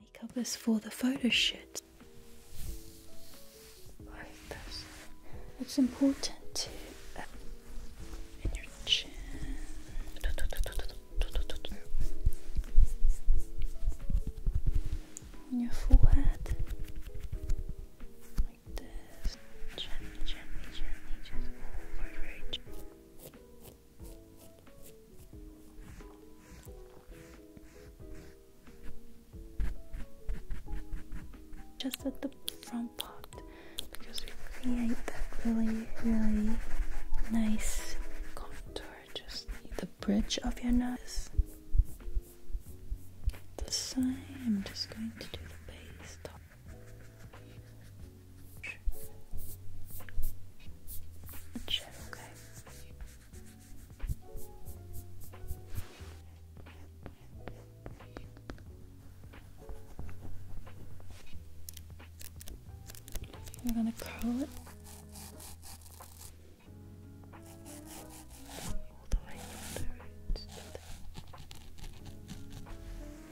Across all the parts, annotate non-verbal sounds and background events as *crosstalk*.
Makeup is for the photo shoot. It's important to uh, in your chin. your forehead, like this, gently, gently, gently, just over it. Just at the front part because we create that really, really nice contour. Just the bridge of your nose. The same. I'm just going to do the base top. Check, okay. We're going to curl it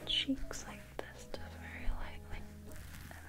cheeks like this, very lightly,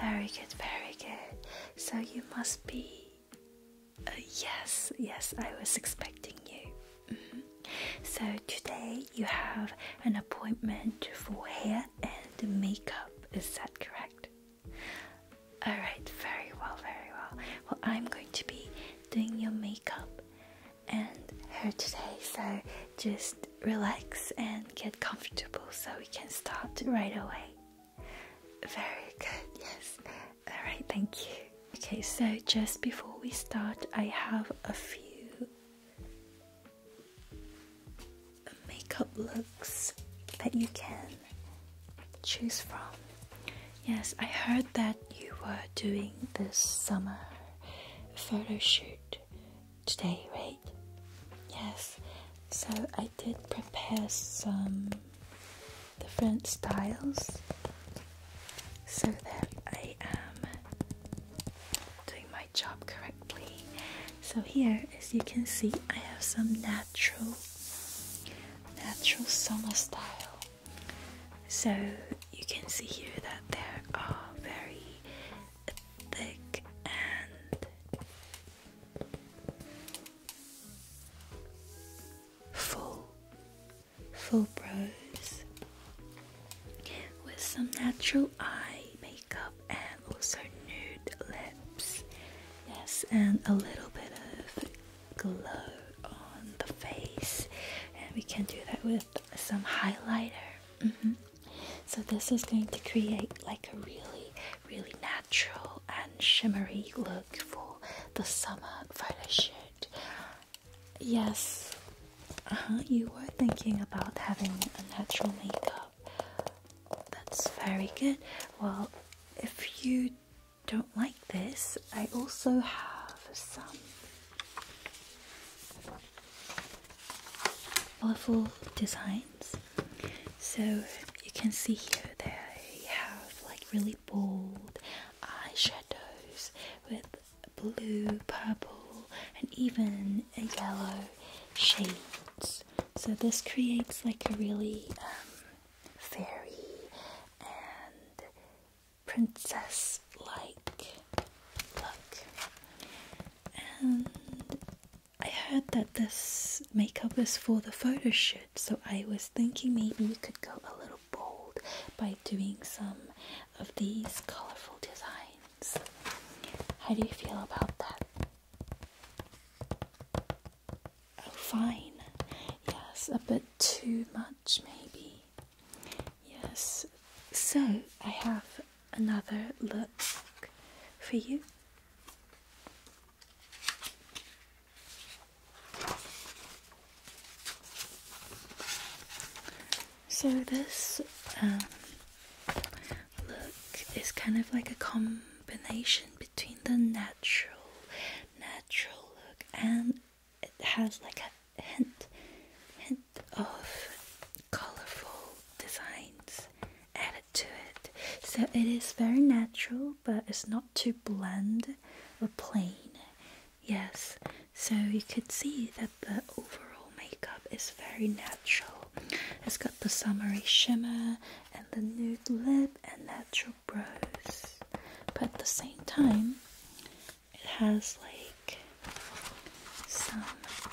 very good, very good. So you must be. Uh, yes, yes, I was expecting you. Mm-hmm. So today you have an appointment for hair and makeup, is that correct? Alright, very well, very well. Well, I'm going to be doing your makeup and hair today, so just relax and get comfortable so we can start right away. Very good, yes. Alright, thank you. Okay, so just before we start, I have a few makeup looks that you can choose from. Yes, I heard that you were doing this summer photo shoot today, right? Yes. So I did prepare some different styles so that I am doing my job correctly. So here, as you can see, I have some natural, natural summer style. So you can see here that they are very thick and full, full brows with some natural eye makeup and also nude lips. Yes, and a little bit of glow on the face, and we can do that with some highlighter. Mm-hmm. So this is going to create like a really, really natural and shimmery look for the summer photo shoot. Yes, uh-huh, you were thinking about having a natural makeup. That's very good. Well, if you don't like this, I also have some colorful designs. So you can see here they have like really bold eyeshadows with blue, purple, and even a yellow shades. So this creates like a really um, fairy and princess-like look. And I heard that this makeup is for the photo shoot, so I was thinking maybe you could go a little bold by doing some of these colorful designs. How do you feel about that? Oh, fine. Yes, a bit too much, maybe. Yes. So, I have another look for you. So this um, look is kind of like a combination between the natural, natural look and it has like a hint, hint of colorful designs added to it. So it is very natural, but it's not too bland or plain. Yes, so you could see that the overall makeup is very natural. It's got the summery shimmer and the nude lip and natural brows. But at the same time, it has like some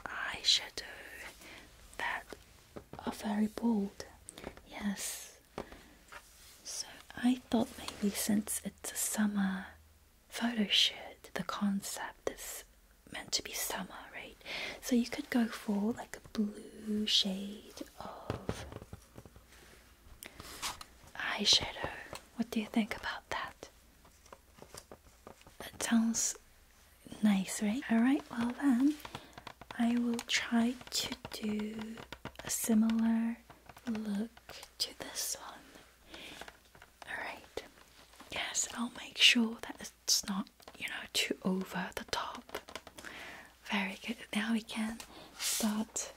eyeshadow that are very bold. Yes. So I thought maybe since it's a summer photo shoot, the concept is meant to be summer, right? So you could go for like a blue shade of eyeshadow. What do you think about that? That sounds nice, right? Alright, well then, I will try to do a similar look to this one. Alright, yes, I'll make sure that it's not, you know, too over the top. Very good. Now we can start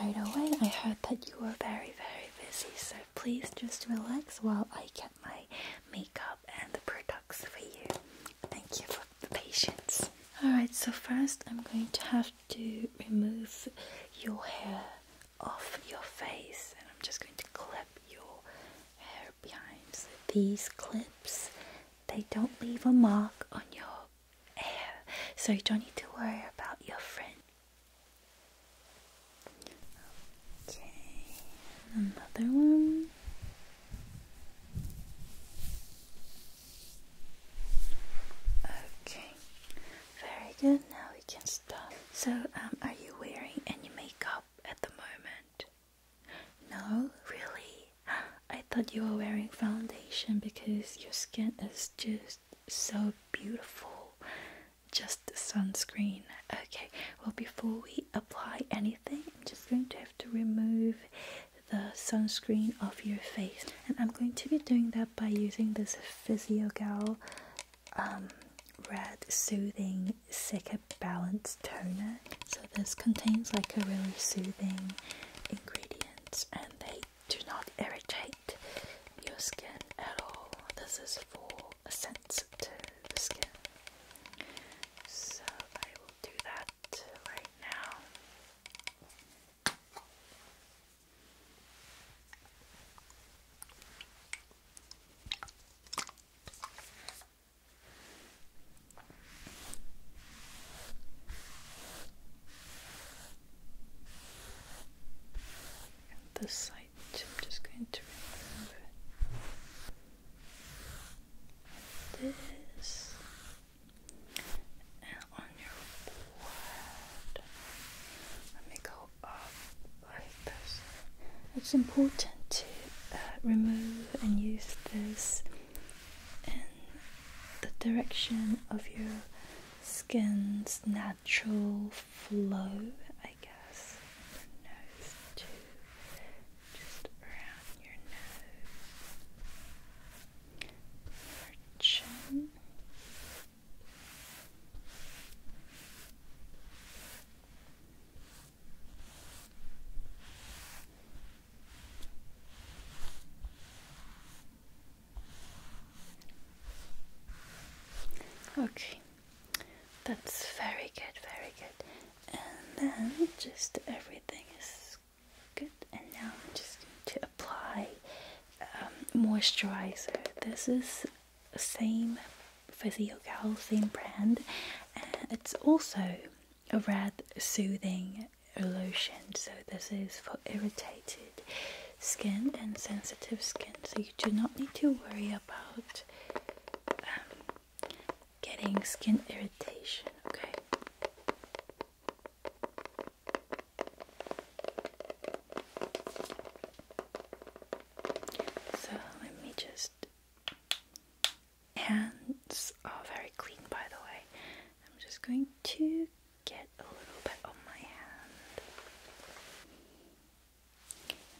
right away. I heard that you were very, very busy, so please just relax while I can my makeup and the products for you. Thank you for the patience. Alright, so first I'm going to have to remove your hair off your face and I'm just going to clip your hair behind. these clips, they don't leave a mark on your hair, so you don't need to worry about your friend. Okay, another one. Okay, very good. Now we can stop. So, um, are you wearing any makeup at the moment? No, really? I thought you were wearing foundation because your skin is just so beautiful just sunscreen. Okay, well, before we apply anything, I'm just going to have to remove the sunscreen off your face, and I'm going to be doing that by using this Physiogel um, Red Soothing Silica Balanced Toner. So, this contains like a really soothing ingredients, and they do not irritate your skin at all. This is for sensitive the skin. So I will do that right now. And side. I'm just going to remove This and on your forehead. Let me go up like this. It's important to uh, remove and use this in the direction of your skin's natural flow. I guess, from nose to just around your nose, your chin. Okay, that's very good, very good. And then just everything is good. And now I'm just going to apply um, moisturizer. This is same Physiocal, same brand. it's also a red soothing lotion. So this is for irritated skin and sensitive skin. So you do not need to worry about um, getting skin irritation, okay? So let me just. Hands are very clean, by the way. I'm just going to get a little bit on my hand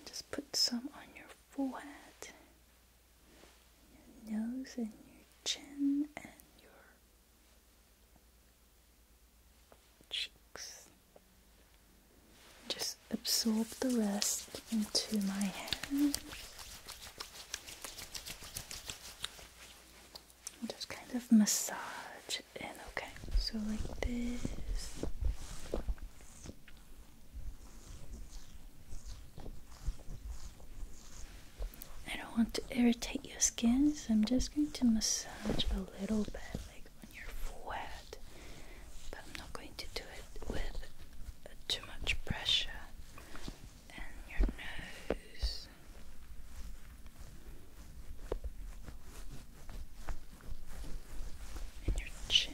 just put some on your forehead, your nose, and your chin, and your cheeks. Just absorb the rest into my hands. Just kind of massage in, okay? So, like this. I don't want to irritate your skin, so I'm just going to massage a little bit, like on your forehead. But I'm not going to do it with too much pressure. And your nose and your chin.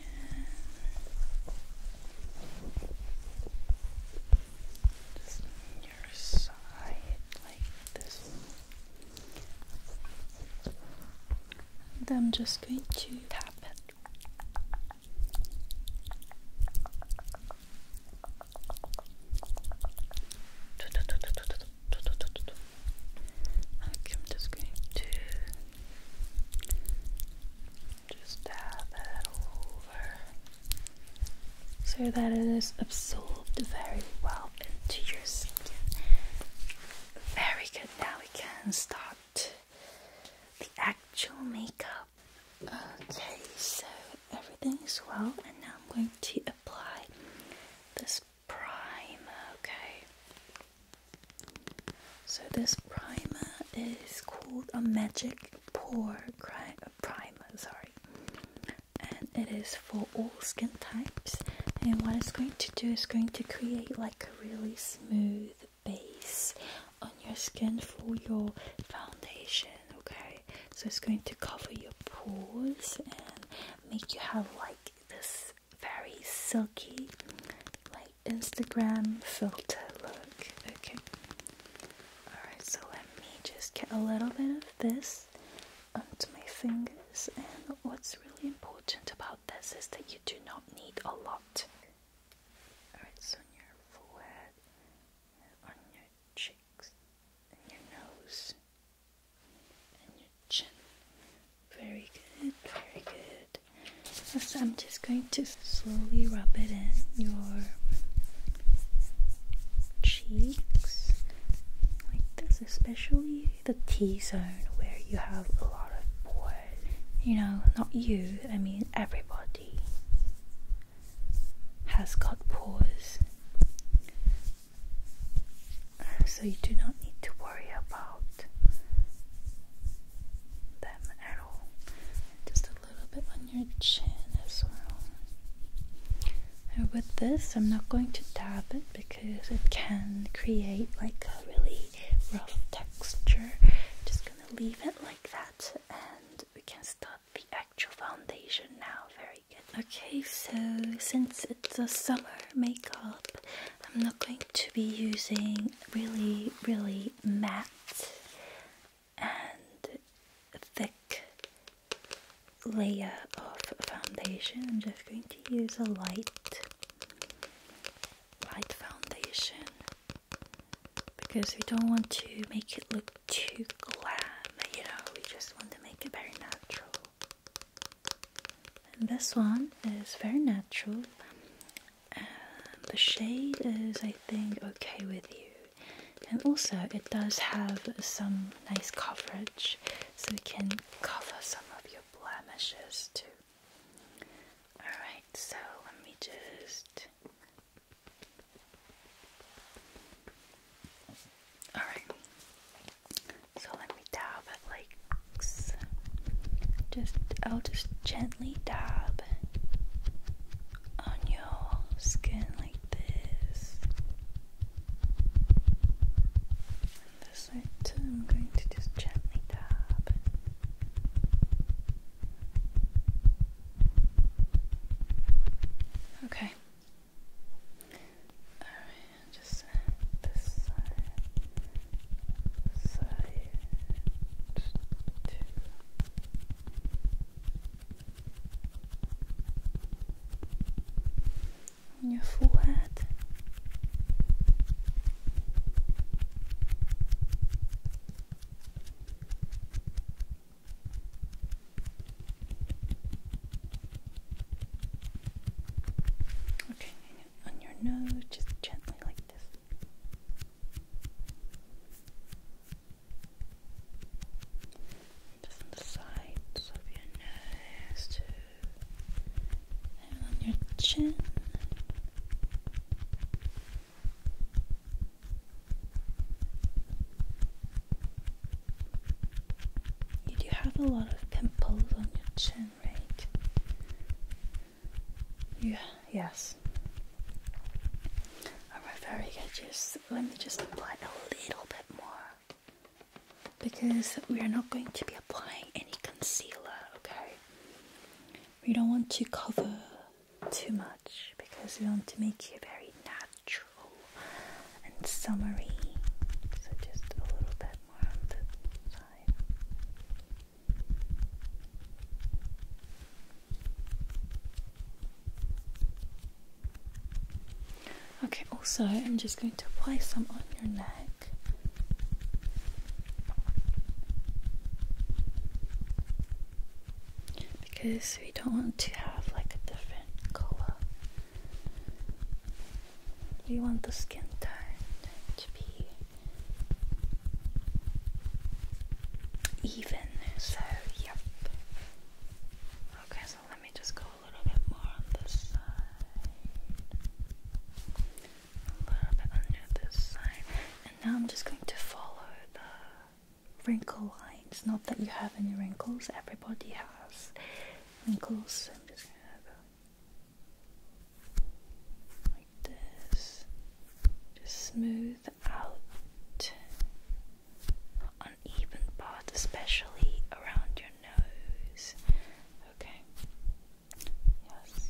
Just your side like this. And I'm just going to tap it. Okay, I'm just going to just dab it over so that it is absorbed very well into your skin. Very good. Now we can start the actual makeup. Okay, so everything is well, and now I'm going to apply this primer. Okay, so this primer is called a magic pore primer, sorry, and it is for all skin types. And what it's going to do is going to create like a really smooth base on your skin for your foundation. Okay, so it's going to cover your pores and make you have like this very silky, like Instagram filter look. Okay. Alright, so let me just get a little bit of this onto my fingers. And what's really important about this is that you do not need a lot. Alright, so on your forehead, on your cheeks, and your nose, and your chin. Very good, very good. So I'm just going to slowly rub it in your cheeks like this, especially the T zone where you have a lot of pores. You know, not you, I mean everybody has got pores. So you do not need to worry about them at all. Just a little bit on your chin as well. And with this, I'm not going to dab it because it can create like a really rough texture. Just gonna leave it like that and we can start the actual foundation now. Very good. Okay, so since it's a summer makeup, I'm not going to be using really, really matte and thick layer of foundation. I'm just going to use a light, light foundation because we don't want to make it look too glam, you know, we just want to make it very natural. And this one is very natural the shade is, I think, okay with you, and also it does have some nice coverage, so it can cover some of your blemishes too. Alright, so let me just. Alright, so let dab at like just I'll just gently dab on your skin like this. this side I'm going to just gently dab. Okay. Alright, just this side. On your forehead. Okay, on your nose, just gently like this. Just on the sides of your nose, too. And on your chin. You do have a lot of pimples on your chin, right? Yeah, yes. Alright, very good. Just let me just apply a little bit more. Because we are not going to be applying any concealer, okay? We don't want to cover too much because we want to make you very natural and summery. So just a little bit more on the side. Okay, also, I'm just going to apply some on your neck. Because we don't want to have like a different color. We want the skin tone to be even. So, yep. Okay, so let me just go a little bit more on this side. A little bit under this side. And now I'm just going to follow the wrinkle lines. Not that you have any wrinkles, everybody has wrinkles. I'm just gonna like this. Just smooth out uneven part, especially around your nose. Okay. Yes,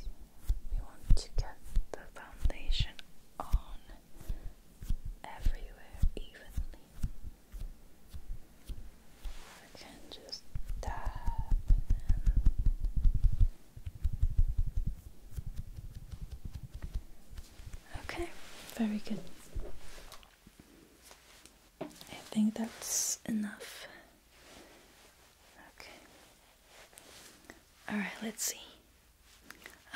we want to get the foundation on everywhere evenly. I can just tap Okay, very good. I think that's enough. Okay. Alright, let's see.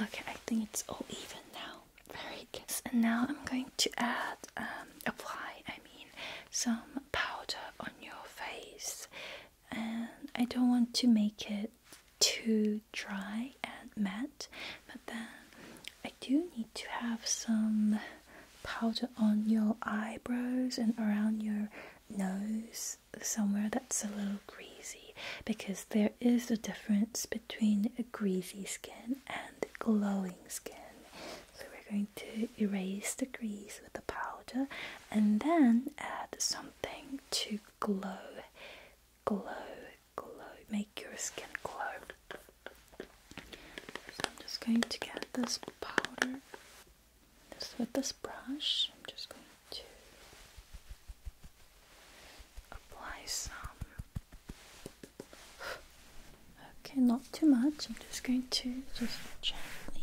Okay, I think it's all even now. Very good. And now I'm going to add, um, apply, I mean, some powder on your face and I don't want to make it too dry and matte, but then I do need to have some powder on your eyebrows and around your nose somewhere that's a little greasy because there is a difference between a greasy skin and glowing skin so we're going to erase the grease with the powder and then add something to glow, glow, glow, make your skin glow. So I'm just going to get this powder this with this brush. I'm just going to apply some. *sighs* Okay, not too much just going to just gently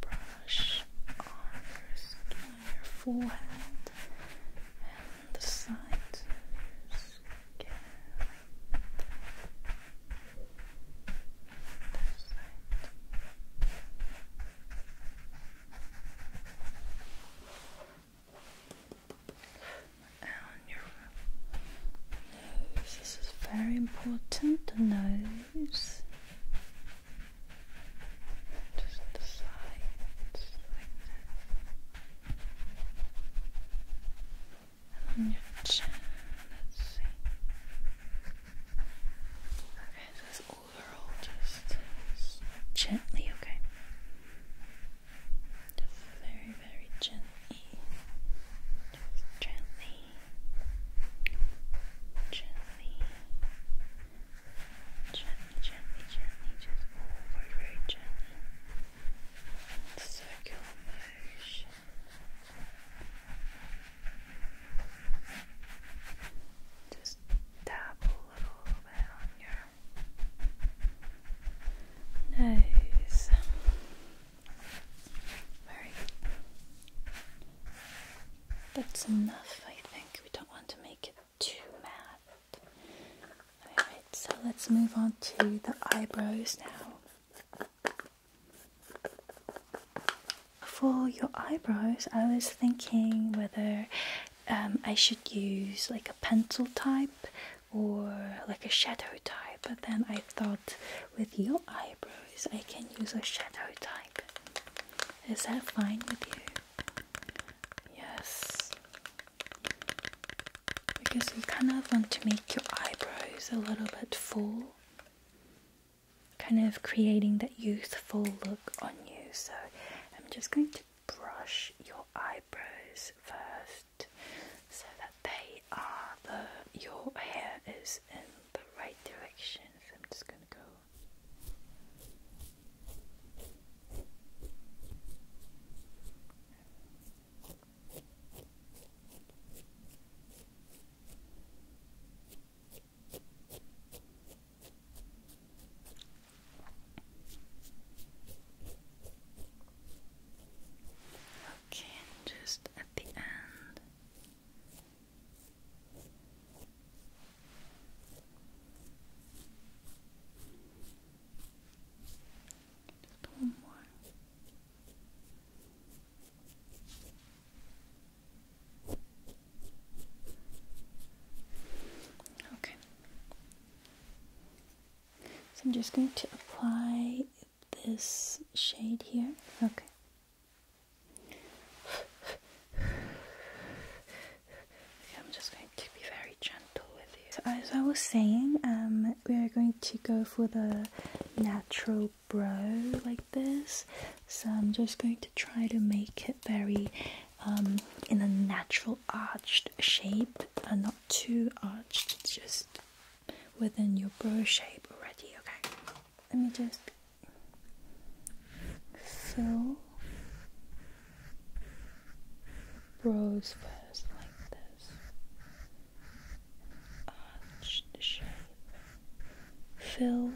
brush on your forehead, and the sides of your skin and your nose. This is very important. The nose. Just the sides And on your chin. Let's see. Okay, so overall just gently, okay very, very gently. gently. Gently. Gently, gently, gently. Just over very gently. Circular motion. Just tap a little bit on your nose. Very That's enough, I think. We don't want to make it too mad. Alright, so let's move on to the eyebrows now. For your eyebrows, I was thinking whether um, I should use like a pencil type or like a shadow type but then I thought with your eyebrows I can use a shadow type is that fine with you yes because you kind of want to make your eyebrows a little bit full kind of creating that youthful look on you so I'm just going to brush your eyebrows first so that they are the your hair is in the right direction. So I'm just gonna go Okay, and just at the end. Just one more. Okay. So I'm just going to apply this shade here. Okay. *sighs* I'm just going to be very gentle with you. So as I was saying, um, we are going to go for the natural brow like this. So I'm just going to try to make it very um, in a natural arched shape and uh, too arched, it's just within your brow shape already. Okay, let me just fill brows first, like this arch shape, fill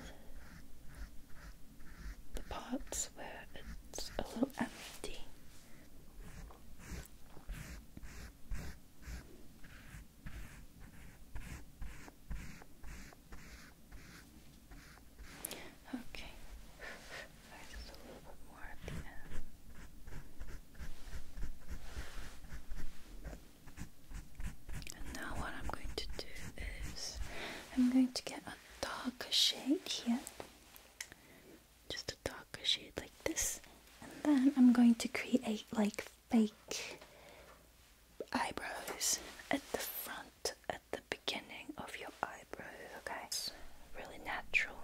the parts where it's a little empty. Okay. just a little bit more at the end. And now what I'm going to do is I'm going to get a darker shade here just a darker shade like this and then I'm going to create like fake eyebrows at the front at the beginning of your eyebrows okay it's really natural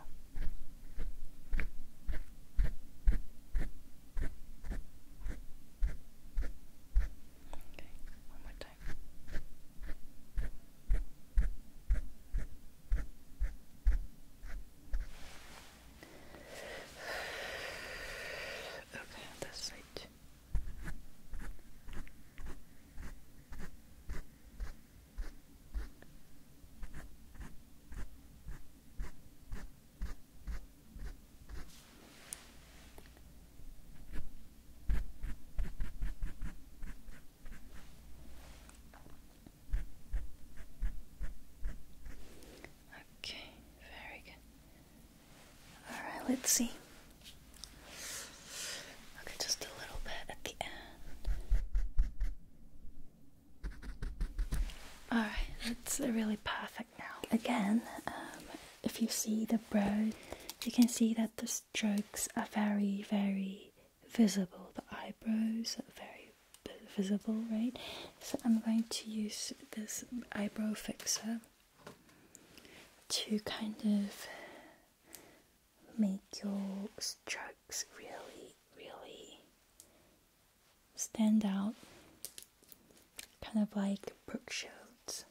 Okay, one more time. Okay, this side. Okay, very good. Alright, let's see. Okay, just a little bit at the end. Alright, that's really perfect now. Again, um, if you see the brow, you can see that the strokes are very, very visible, the eyebrows are very visible, right? So I'm going to use this eyebrow fixer to kind of make your strokes really, really stand out, kind of like Brooke Shields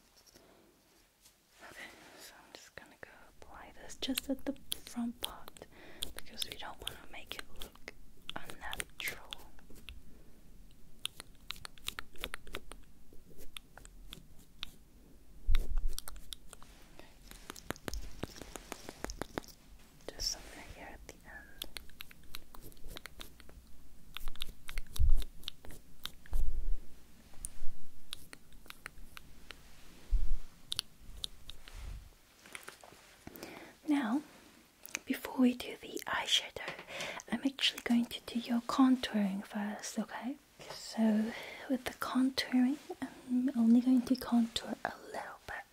just gonna go apply this just at the front part because we don't want to make it look unnatural. Just somewhere here at the end. Now, before we do the eyeshadow, I'm actually going to do your contouring first, okay? So, with the contouring, I'm only going to contour a little bit.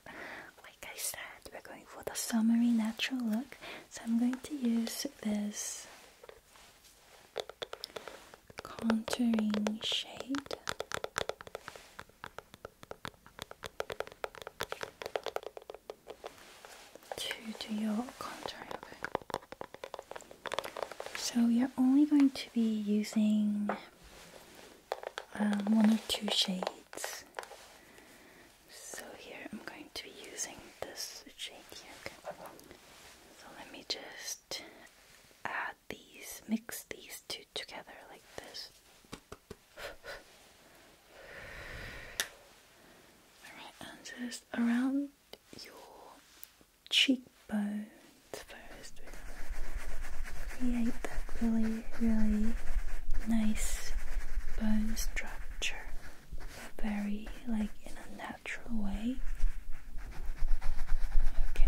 Like I said, we're going for the summery natural look, so I'm going to use this contouring shade to do your contour. So you're only going to be using um, one or two shades. So here I'm going to be using this shade here. So let me just add these, mix these two together like this. and just around your cheekbones first. Create that really, really nice bone structure, very like in a natural way. Okay.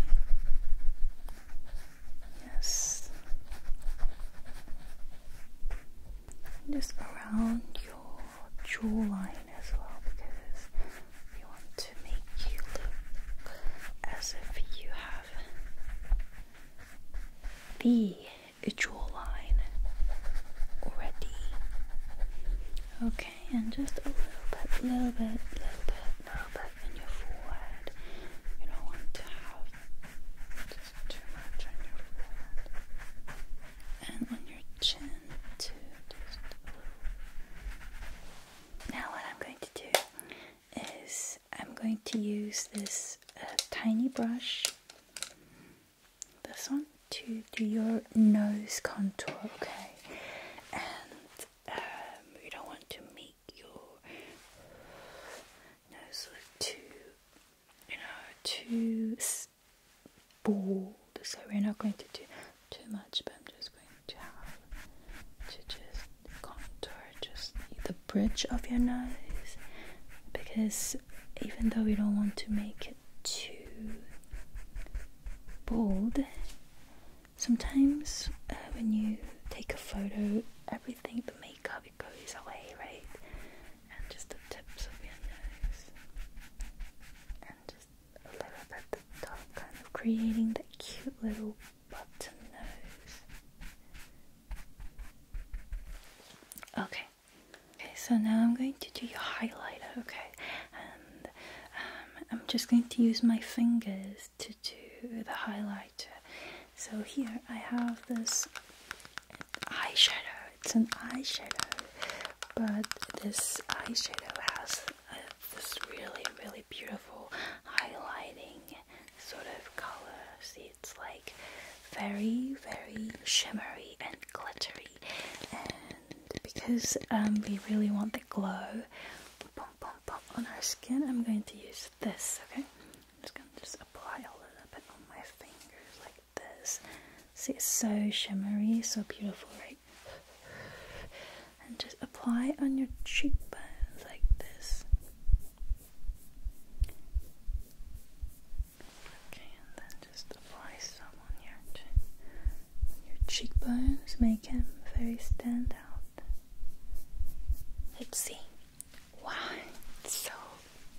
Yes. Just around your jawline as well, because we want to make you look as if you have the jawline already. Okay, and just a little bit, little bit, little bit, little bit stuff your forehead. You don't want to have too much on your forehead. And on your chin too, Now what I'm going to do is I'm going to use this uh, tiny brush, this one, to do your nose contour, okay? And um, you don't want to meet your nose look too, you know, too bold. So we're not going to do too much, but I'm just going to have to just contour just the bridge of your nose because even though we don't want to make it too bold sometimes uh, when you take a photo, everything the makeup it goes away, right? And just the tips of your nose, and just a little bit the top, kind of creating that cute little button nose. Okay. Okay, so now I'm going to do your highlighter, okay? And um, I'm just going to use my fingers to do the highlighter. So here I have this eyeshadow. It's an eyeshadow, but this eyeshadow has uh, this really, really beautiful highlighting sort of color. it's like very, very shimmery and glittery. And because um, we really want the glow, on our skin, I'm going to use this, okay? I'm just going to just apply a little bit on my fingers like this. See, it's so shimmery, so beautiful, right? And just apply on your cheekbones like this. Okay, and then just apply some on your cheekbones, make them very stand out. Let's see. Wow, it's so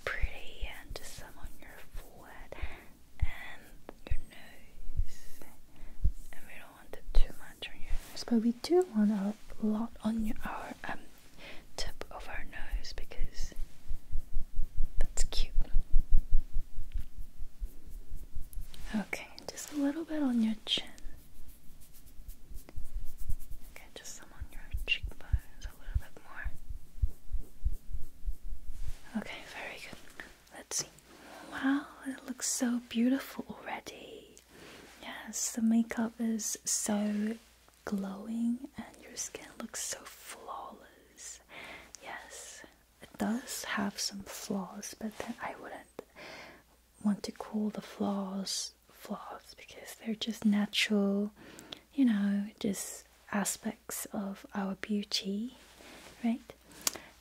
pretty, and some on your forehead and your nose. And we don't want too much on your but we do want a lot on your, our um, tip of our nose because that's cute. Okay, just a little bit on your chin. Okay, just some on your cheekbones, a little bit more. Okay, very good. Let's see. Wow, it looks so beautiful already. Yes, the makeup is so glowing and your skin looks so flawless. Yes, it does have some flaws, but then I wouldn't want to call the flaws flaws because they're just natural, you know, just aspects of our beauty, right?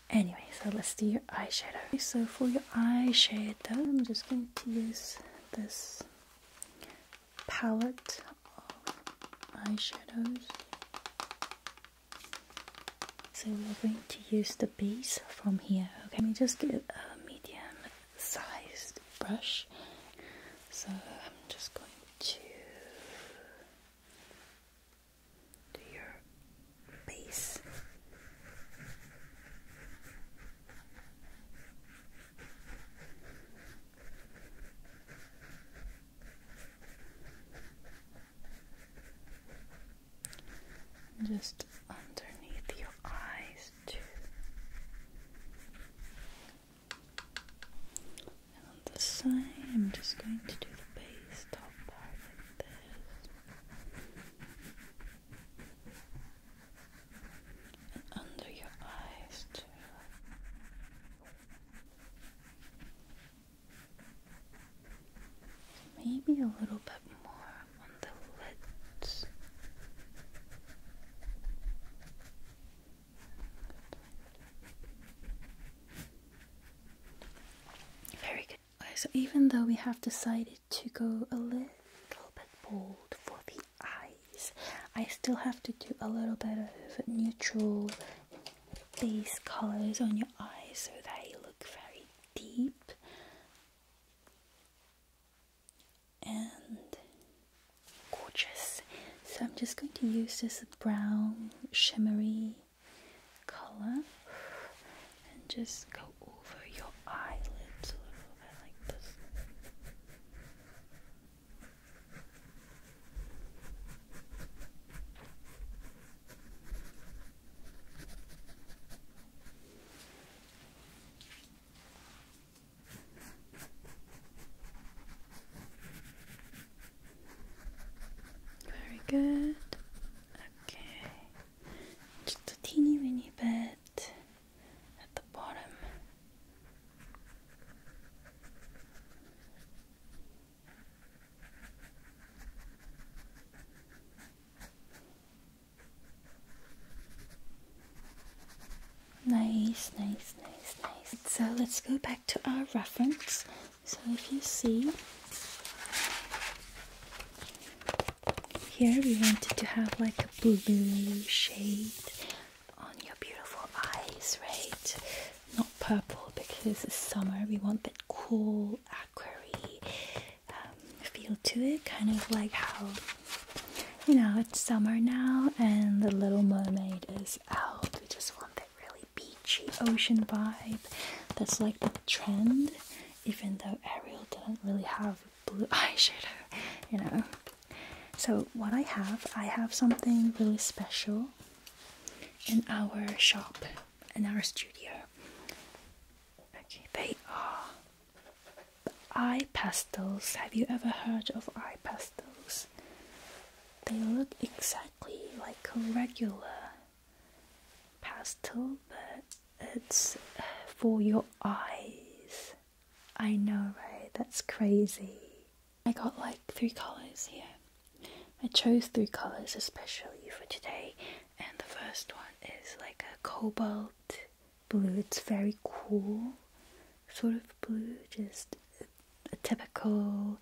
Anyway, so let's do your eyeshadow. So for your eyeshadow, I'm just going to use this palette of eyeshadows. So we're going to use the base from here. Okay, let me just get a medium-sized brush. So I'm just going to do your base just underneath your eyes too. And the side, I'm just going to do the base top part like this. And under your eyes too. Maybe a little bit more on the lids. Very good. so even though we have decided to go a little bit bold for the eyes, I still have to do a little bit of neutral base colors on your eyes so they look very deep and gorgeous. So I'm just going to use this brown shimmery color and just go over your eyelids a little bit like this. Very good. Okay, just a teeny weeny bit at the bottom. Nice, nice, nice, nice. So let's go back to our reference. So if you see, here we wanted to have like a blue shade on your beautiful eyes, right? Not purple because it's summer, we want that cool aqua. Um, feel to it, kind of like how you know it's summer now and The Little Mermaid is out. We just want that really beachy ocean vibe. That's like the trend, even though Ariel didn't really have blue *laughs* eyeshadow, you know. So, what I have, I have something really special in our shop, in our studio. Okay, they are eye pastels. Have you ever heard of eye pastels? They look exactly like a regular pastel, but it's for your eyes. I know, right? That's crazy. I got like three colors here. I chose three colors especially for today, and the first one is like a cobalt blue. It's very cool sort of blue, just a typical,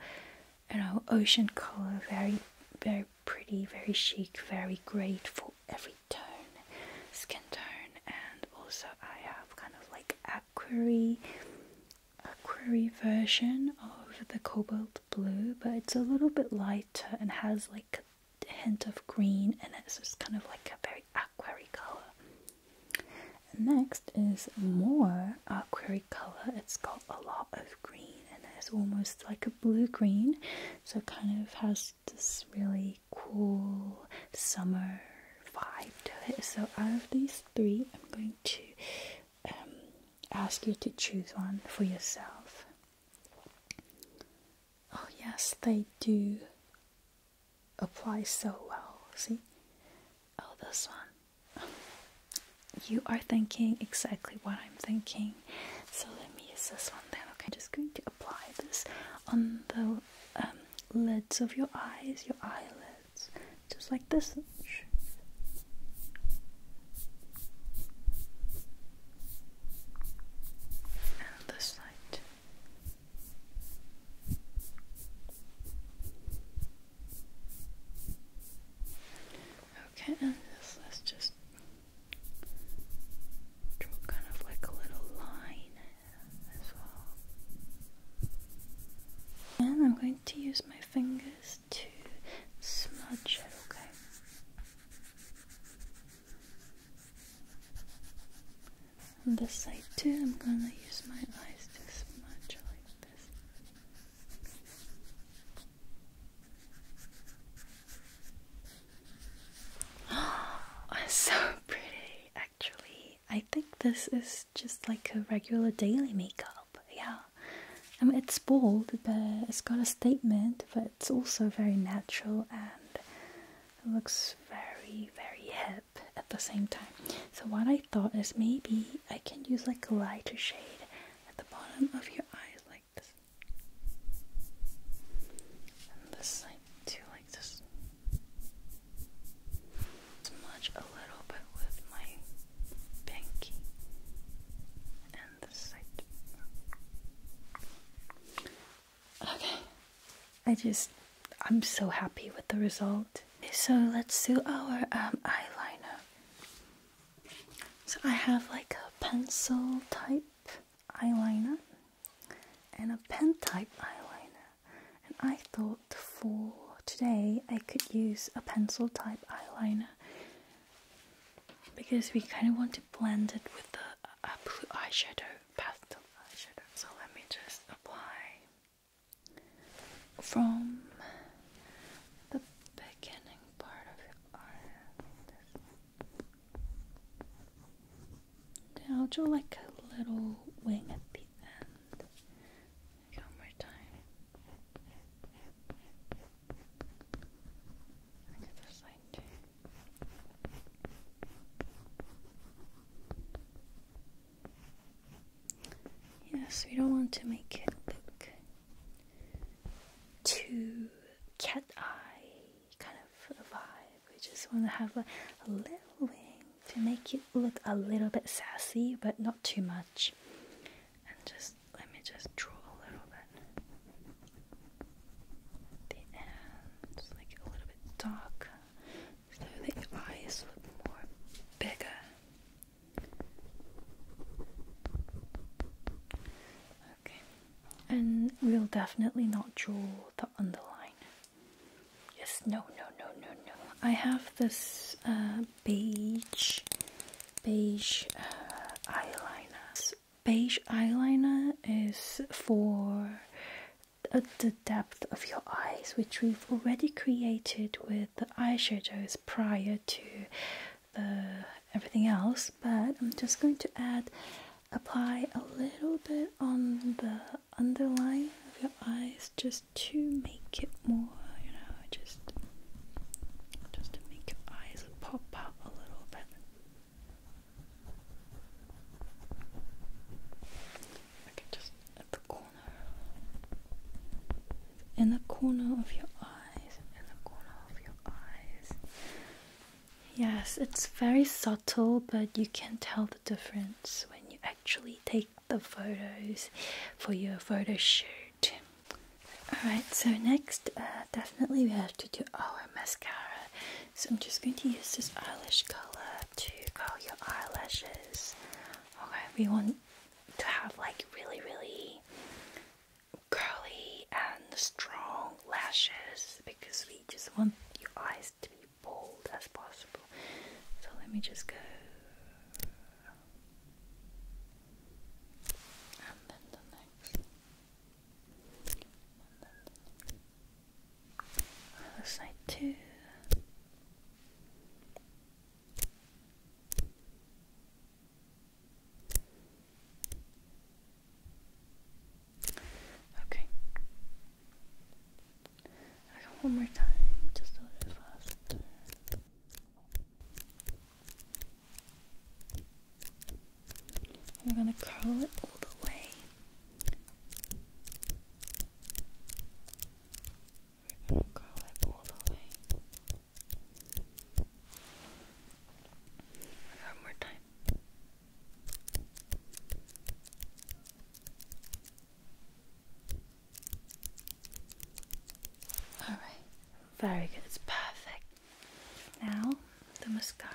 you know, ocean color. Very, very pretty, very chic, very great for every tone, skin tone, and also I have kind of like aquary, aquary version of the cobalt blue, but it's a little bit lighter and has like hint of green and it's just kind of like a very aquary color. next is more aquary color. It's got a lot of green and it's almost like a blue green, so it kind of has this really cool summer vibe to it. So out of these three, I'm going to um, ask you to choose one for yourself. Oh, yes, they do apply so well. See? Oh, this one. You are thinking exactly what I'm thinking. So let me use this one then. Okay, I'm just going to apply this on the um, lids of your eyes, your eyelids, just like this and this side. Okay, and let's just draw kind of like a little line as well. And I'm going to use my fingers to smudge it, okay? On this side too, I'm gonna use my eyes to much like this. *gasps* Oh, it's so pretty actually. I think this is just like a regular daily makeup. Yeah. I it's bold but it's got a statement but it's also very natural and looks very, very hip at the same time. So what I thought is maybe I can use like a lighter shade at the bottom of your eyes like this. And this side too like this. Smudge a little bit with my pinky Okay. I just, I'm so happy with the result. So let's do our um, eyeliner. So I have like a pencil type eyeliner and a pen type eyeliner. And I thought for today I could use a pencil type eyeliner because we kind of want to blend it with the uh, blue eyeshadow, pastel eyeshadow. So let me just apply from the beginning part of your eye. Then I'll draw like a little wing at the end. One more time. Yes, we don't want to make it look too cat eye kind of vibe. We just want to have a, a little wing to make it look a little bit sassy, but not too much. And just let me just draw a little bit. The ends like a little bit darker, so the eyes look more bigger. Okay, and we'll definitely not draw the underline. Yes, no, no, no, no, no. I have this uh, beige, beige uh, beige eyeliner is for uh, the depth of your eyes, which we've already created with the eyeshadows prior to the everything else. But I'm just going to add, apply a little bit on the underline of your eyes, just to make it more, you know, just just to make your eyes pop out a little bit just at the corner. In the corner of your eyes. In the corner of your eyes. Yes, it's very subtle, but you can tell the difference when you actually take the photos for your photo shoot. Alright, so next, uh, definitely we have to do our mascara. So I'm just going to use this eyelash color to curl your eyelashes. Okay, we want to have like really, really curly and strong lashes because we just want your eyes to be bold as possible. So let me just go. And then the next side too. Okay. I got one more time, just a little faster. We're going to curl it all the way. We're going to curl it all the way. One more time. All right, very good. It's perfect. Now, the mascara.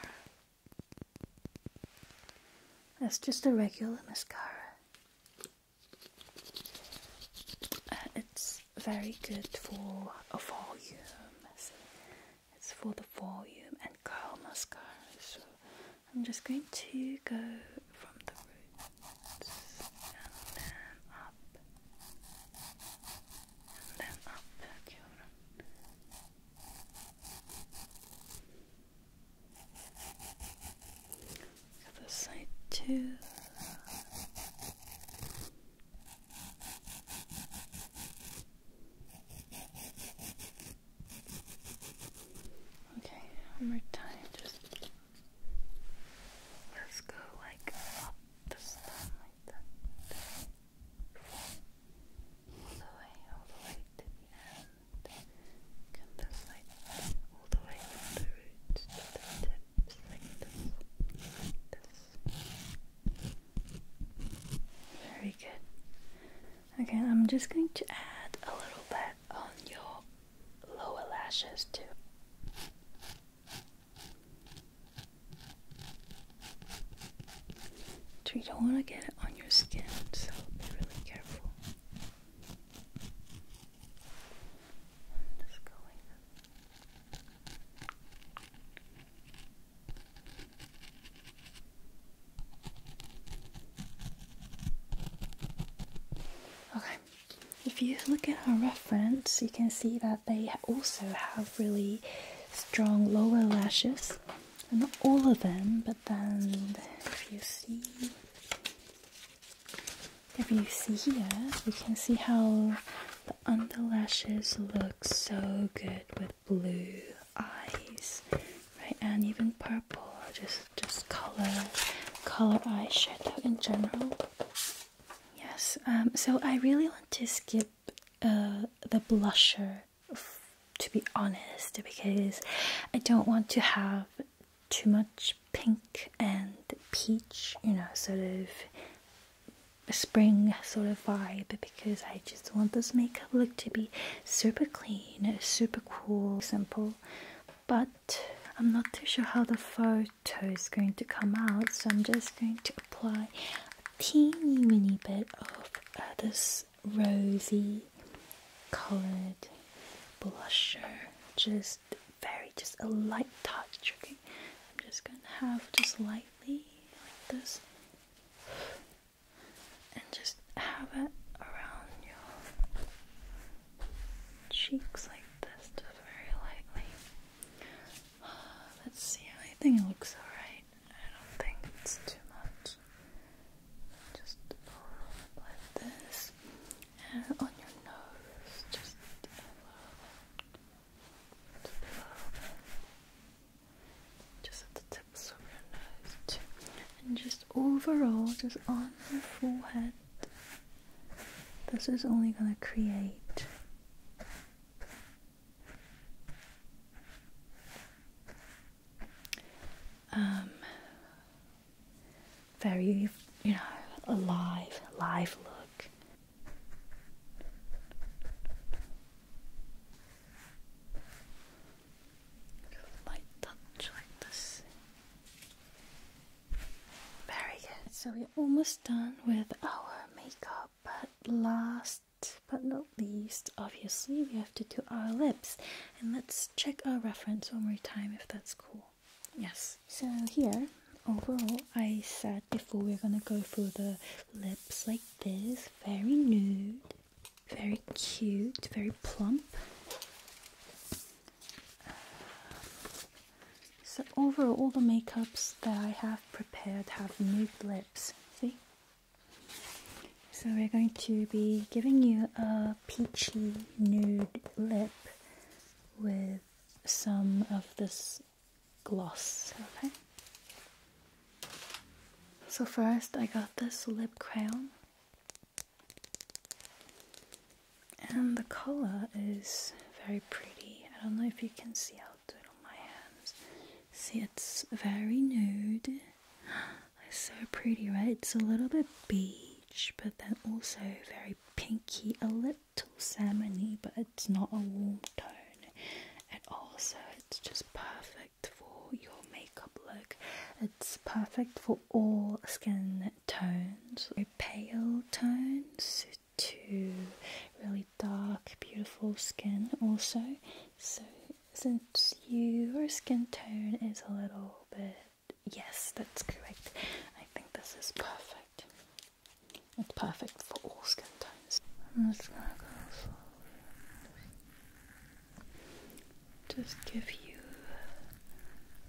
That's just a regular mascara. it's very good for a volume. It's for the volume and curl mascara. So I'm just going to go from the roots and up and then up högkjoren. Other side too. Okay, one more time. Just let's go like up the stem like that all the way, all the way to the end. Come this way, all the way from the like this, like this. Very good. Okay, I'm just going to add a little bit on your lower lashes too. So don't want to get it on your skin, so be really careful. just going Okay, if you look at our reference, you can see that they also have really strong lower lashes. And not all of them, but then if you see if you see here, you can see how the underlashes look so good with blue eyes, right? And even purple, just just color color eyeshadow in general. Yes. Um. So I really want to skip uh, the blusher to be honest because I don't want to have too much pink and peach, you know, sort of spring sort of vibe because I just want this makeup look to be super clean, super cool, simple. But I'm not too sure how the photo is going to come out, so I'm just going to apply teeny weeny bit of uh, this rosy colored blusher just very just a light touch okay I'm just gonna have just lightly like this and just have it around your cheeks like this just very lightly *sighs* let's see I think it looks alright I don't think it's too much. Just like this, and on your nose, just a little just a little just at the tips of your nose and just overall, just on your forehead. This is only going to create um, very, you know, alive, live look. Light touch like this. Very good. So we're almost done with our makeup, at last but not least, obviously, we have to do our lips. And let's check our reference one more time if that's cool. Yes. So here, overall, I said before we are gonna go for the lips like this, very nude, very cute, very plump. So overall, all the makeups that I have prepared have nude lips. See? So we're going to be giving you a peachy nude lip with some of this gloss, okay? So first I got this lip crayon and the color is very pretty. I don't know if you can see, I'll do it on my hands. See, it's very nude. *gasps* It's so pretty, right? It's a little bit beige, but then also very pinky, a little salmony, but it's not a warm tone. And also, it's just perfect for your makeup look. It's perfect for all skin tones. A pale tones to really dark, beautiful skin also. So since your skin tone is a little bit yes, that's correct. I think this is perfect. It's perfect for all skin tones. I'm just gonna go slowly. Just give you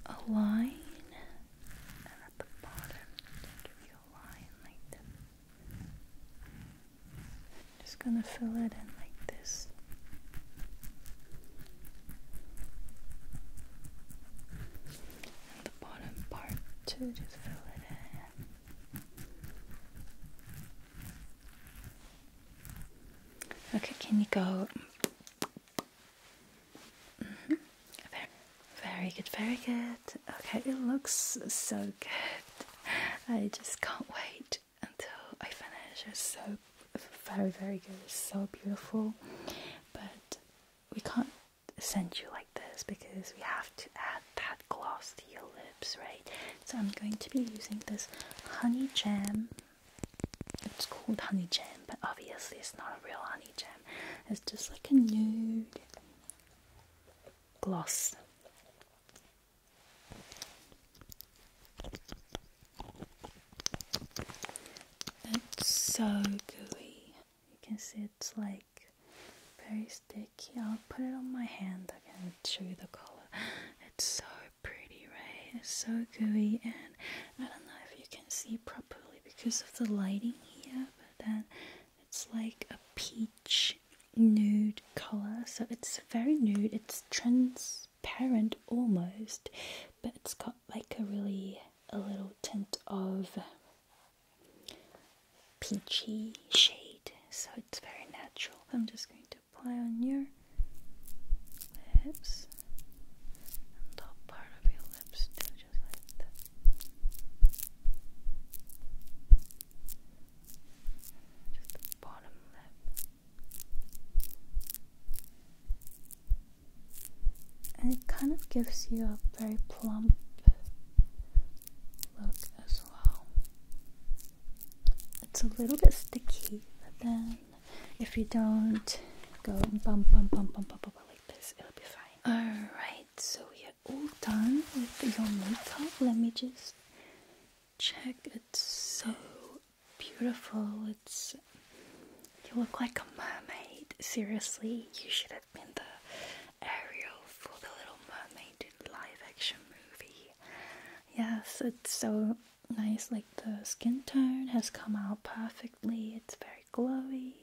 a line. And at the bottom, give you a line like this. Just gonna fill it in like this. the bottom part too, just fill it in. Okay, can you go? Mm-hmm. very good, very good. Okay, it looks so good. *laughs* I just can't wait until I finish. It's so very, very good. It's so beautiful. But we can't send you like this because we have to add that gloss to your lips, right? So I'm going to be using this honey jam. It's called honey jam, but obviously it's not a real honey jam. It's just like a nude gloss. It's so gooey. You can see it's like very sticky. I'll put it on my hand. I can show you the color. It's so pretty, right? It's so gooey, and I don't know if you can see properly because of the lighting here, but then it's like a peach nude color. So it's very nude, it's transparent almost, but it's got like a really a little tint of peachy shade. So it's very natural. I'm just going to apply on your lips and top part of your lips too, just like that. And it kind of gives you a very plump look as well. It's a little bit sticky, but then if you don't go bump, bump, bump, bump, bump, bump, bump like this, it'll be fine. Alright, so yeah all done with your makeup. Let me just check. It's so beautiful. It's you look like a mermaid. Seriously, you should have been the Ariel for the Little Mermaid live action movie. Yes, it's so nice. Like the skin tone has come out perfectly. It's very glowy,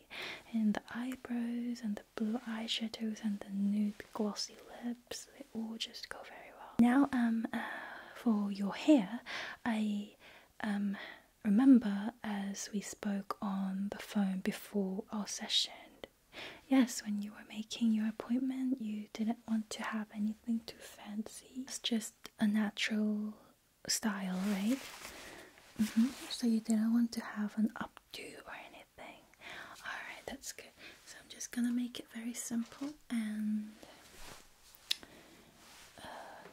and the eyebrows and blue eyeshadows and the nude glossy lips, they all just go very well. Now, um, uh, for your hair, I um, remember as we spoke on the phone before our session. Yes, when you were making your appointment, you didn't want to have anything too fancy. It's just a natural style, right? Mm-hmm. So you didn't want to have an updo or anything. Alright, that's good. So I'm just gonna make it very simple and uh,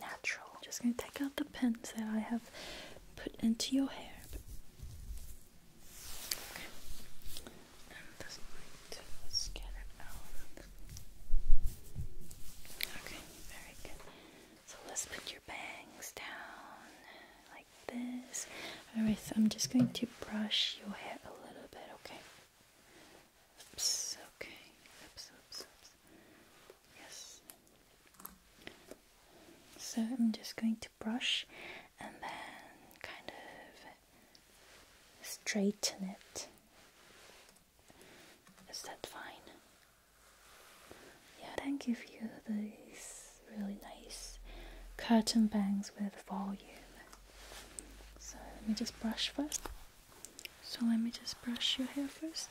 natural. Just gonna take out the pins that I have put into your hair. Okay, very good. So let's put your bangs down Alright, so I'm just going to brush your hair a little bit, okay? Oops, okay. Oops, oops, oops. Yes. So I'm just going to brush and then kind of straighten it. Is that fine? yeah, then give you these really nice curtain bangs with volume. So let me just brush first. So let me just brush your hair first.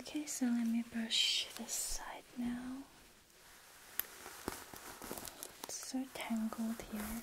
Okay, so let me brush this side now. It's so tangled here.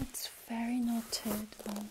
It's very knotted. One.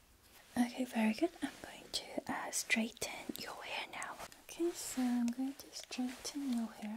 Okay, very good. I'm going to uh, straighten your hair now. Okay, so I'm going to straighten your hair.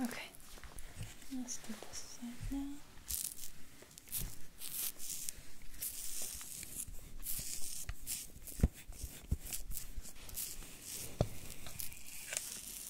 Okay, let's do this side now.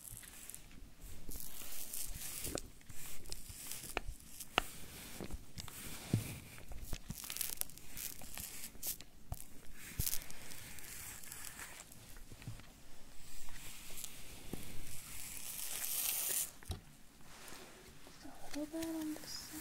Just a little bit on this side.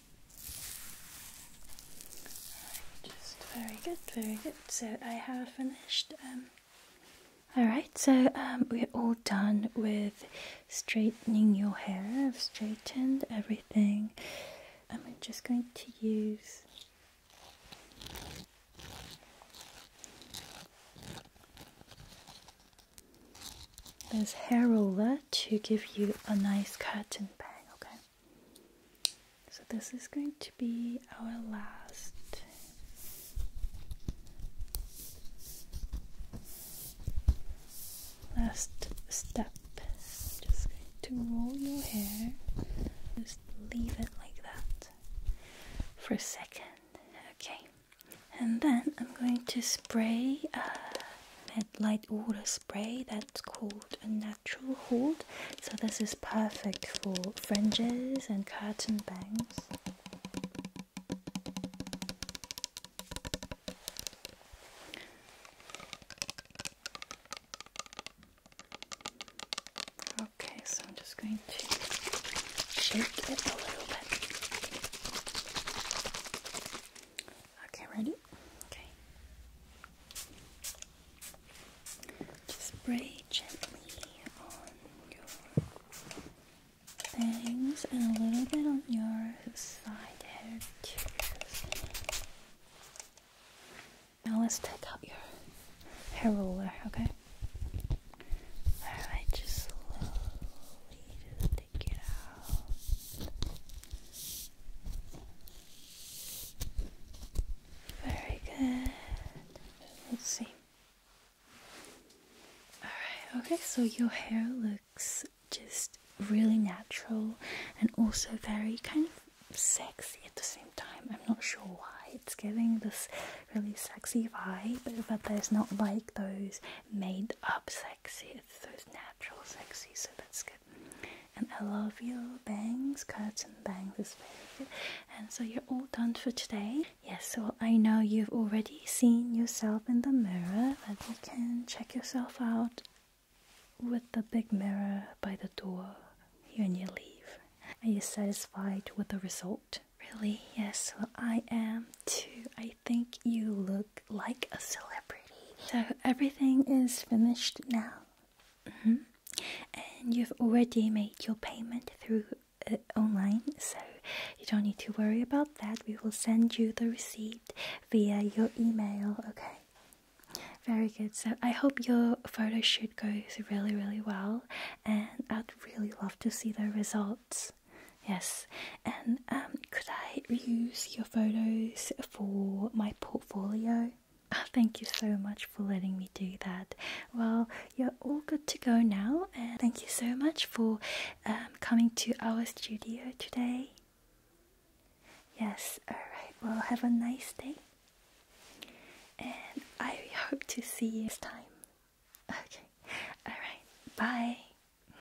just very good, very good. So I have finished. Um, Alright, so um, we're all done with straightening your hair. I've straightened everything. I'm just going to use this hair roller to give you a nice curtain bang, okay? So, this is going to be our last last step. Just to roll your hair, just leave it like that for a second, okay? and then I'm going to spray uh, a light water spray that's called a natural hold. So, this is perfect for fringes and curtain bangs. Okay, so I'm just going to shake it a little bit. Okay, ready? Okay. Just spray gently on your bangs and a little bit on your side hair too. Now let's take out your hair roller, okay? Alright, just slowly very good. Let's see. Alright, okay, so your hair looks just really natural and also very kind of sexy at the same time. I'm not sure why it's giving this really sexy vibe, but there's not like those made up sexy, it's those natural, sexy, so that's good. And I love your bangs, cuts, and bangs is very good. And so you're all done for today. Yes, so I know you've already seen yourself in the mirror, but you can check yourself out with the big mirror by the door and you leave. Are you satisfied with the result? Really? Yes, well, I am too. I think you look like a celebrity. So everything is finished now. Mm-hmm. And you've already made your payment through uh, online, so you don't need to worry about that. We will send you the receipt via your email, okay? Very good. So I hope your photo shoot goes really, really well, and I'd really love to see the results. Yes, and um, could I use your photos for my portfolio? *laughs* thank you so much for letting me do that. Well, you're all good to go now, and thank you so much for um, coming to our studio today. Yes, alright, well, have a nice day, and I hope to see you next time. *laughs* Okay, alright, bye.